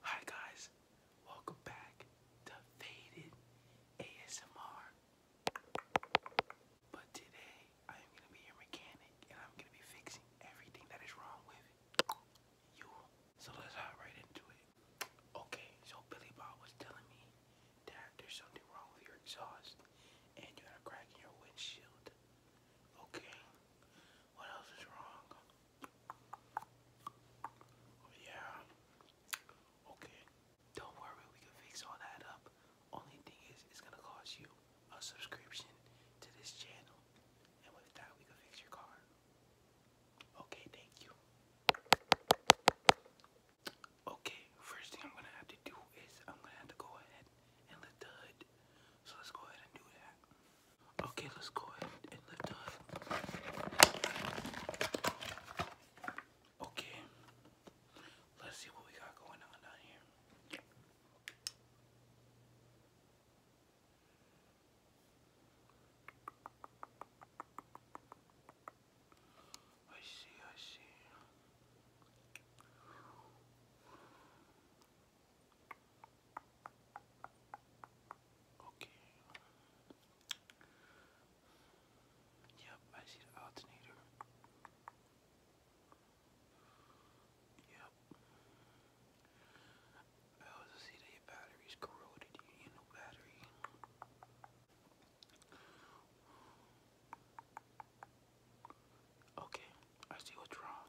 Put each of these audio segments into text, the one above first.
Hi guys, welcome back to Faded ASMR. But today I am gonna be your mechanic and I'm gonna be fixing everything that is wrong with you. So let's hop right into it. Okay, so Billy Bob was telling me that there's something wrong with your exhaust and you had a crack in your windshield. Okay. What else is wrong? Oh, yeah. Okay. Don't worry, we can fix all that up. Only thing is, it's gonna cost you a subscription to this channel. And with that, we can fix your car. Okay, thank you. Okay, first thing I'm gonna have to do is I'm gonna have to go ahead so let's go ahead and do that. Okay, let's go ahead and lift the Okay, let's see what we got going on down here. I see, I see. Okay. Yep, I see the alternator. Yep. I also see that your battery's corroded. You need a new battery. Okay, I see what's wrong.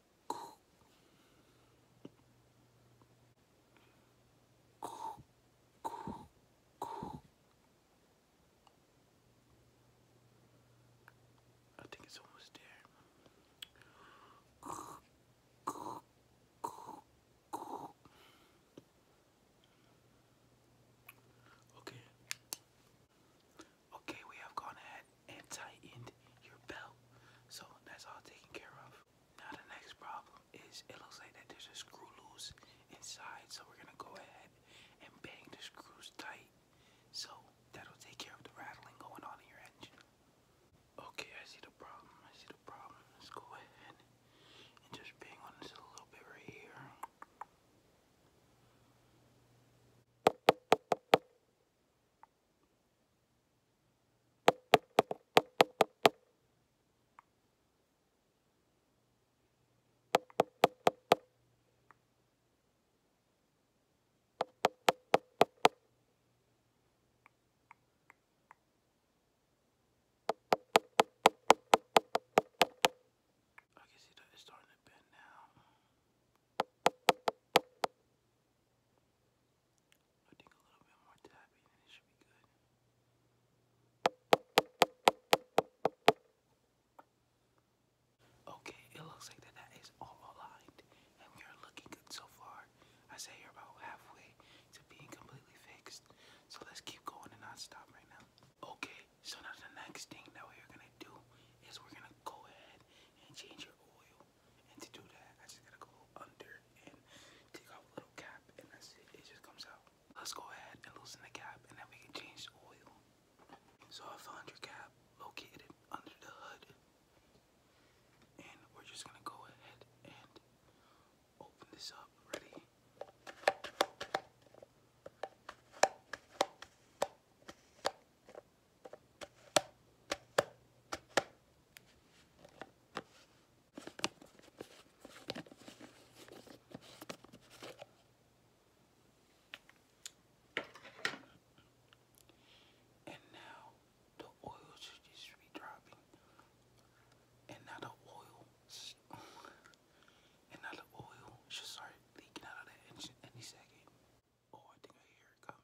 I think it's almost there. Okay. Okay, we have gone ahead and tightened your belt. So that's all taken care of. Now the next problem is it looks like that there's a screw loose inside. So we're gonna go ahead and bang the screws tight. So that'll take care of the rattling going on in your engine. Okay, I see the problem. I see the problem. Let's go ahead and just bang on this a little bit right here. I can see that it's starting to bend now. Okay, it looks like that is all aligned and we are looking good so far. I say you're about halfway to being completely fixed. So let's keep going and not stop right now. Okay, so now the next thing that we're gonna do is we're gonna go ahead and change your oil. And to do that, I just gotta go under and take off a little cap and that's it, it just comes out. Let's go ahead and loosen the cap and then we can change the oil. So I found your cap located under the hood. And we're just gonna go ahead and open this up. Ready? And now the oil should just be dropping. And now the oil, and now the oil should start leaking out of that engine any second. Oh, I think I hear it coming.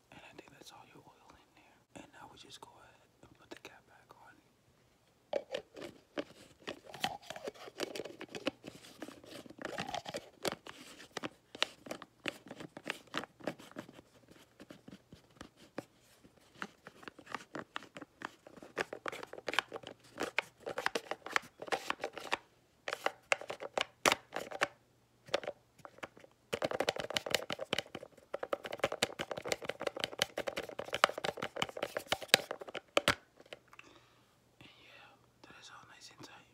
And I think that's all your oil in there. And now we just go ahead and put the cap back on. And yeah, that is all nice and tight.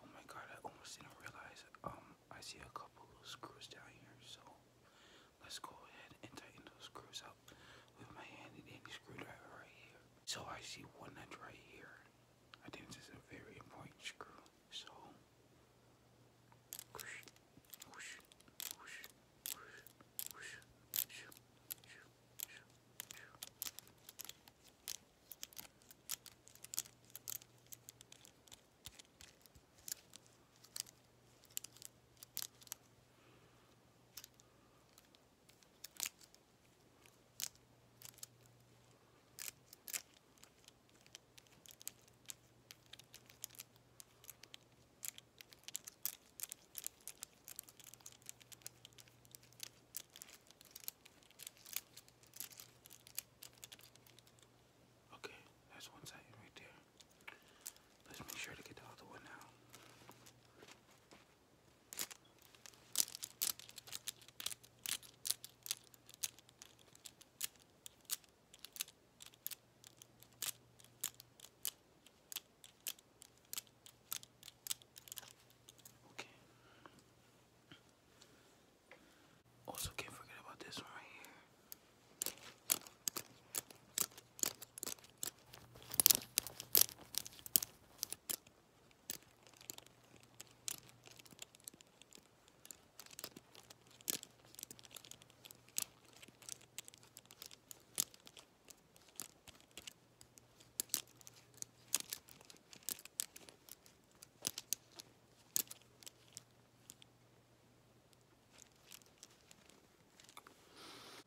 Oh my god, I almost didn't realize um I see a couple of screws down here, so let's go ahead and tighten those screws up with my hand and screwdriver right here. So I see one nut right here. I think this a very important screw. So, Okay, that's one side right there. Let's make sure to get the other one now. Okay. Also, can't forget about this one right here.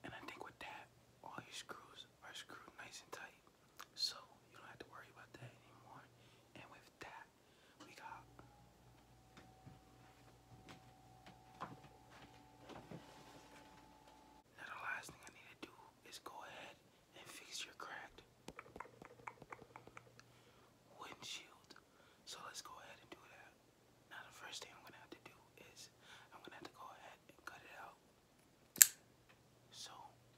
And I think with that, all your screws are screwed nice and tight. So you don't have to worry about that anymore. And with that, we got now the last thing I need to do is go ahead and fix your cracked windshield. So let's go ahead and do that. Now the first thing I'm gonna have to do is I'm gonna have to go ahead and cut it out. So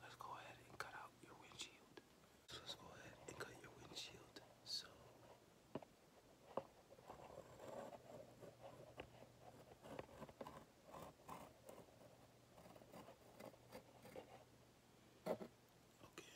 let's go ahead and cut out your windshield. let's go ahead and cut your windshield. So Okay.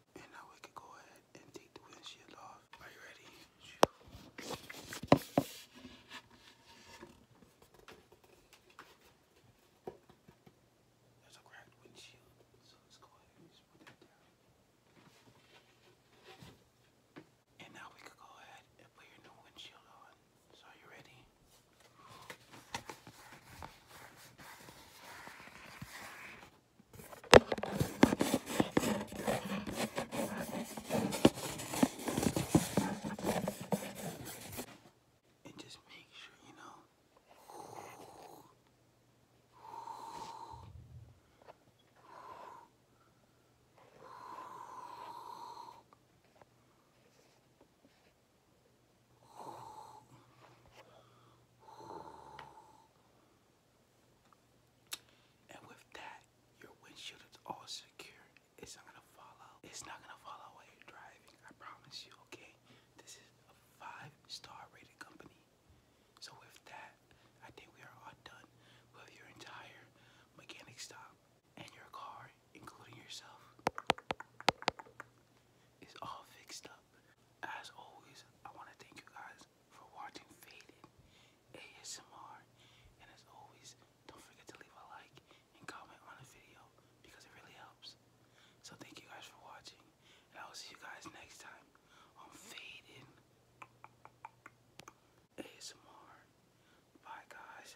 And now we can go ahead and take the windshield off. Are you ready? There's a cracked windshield, so let's go ahead and put that down. And now we can go ahead and put your new windshield on. So are you ready? And just make sure, you know. And with that, your windshield is all secure. It's not gonna fall out. It's not gonna fall out while you're driving. I promise you, okay? This is a five-star rated company. So with that, I think we are all done with your entire mechanic stop and your car, including yourself. It's all fixed up. As always, I want to thank you guys for watching Faded ASMR. And as always, don't forget to leave a like and comment on the video because it really helps. So thank you guys for watching. And I will see you guys next time on Faded ASMR. Bye guys.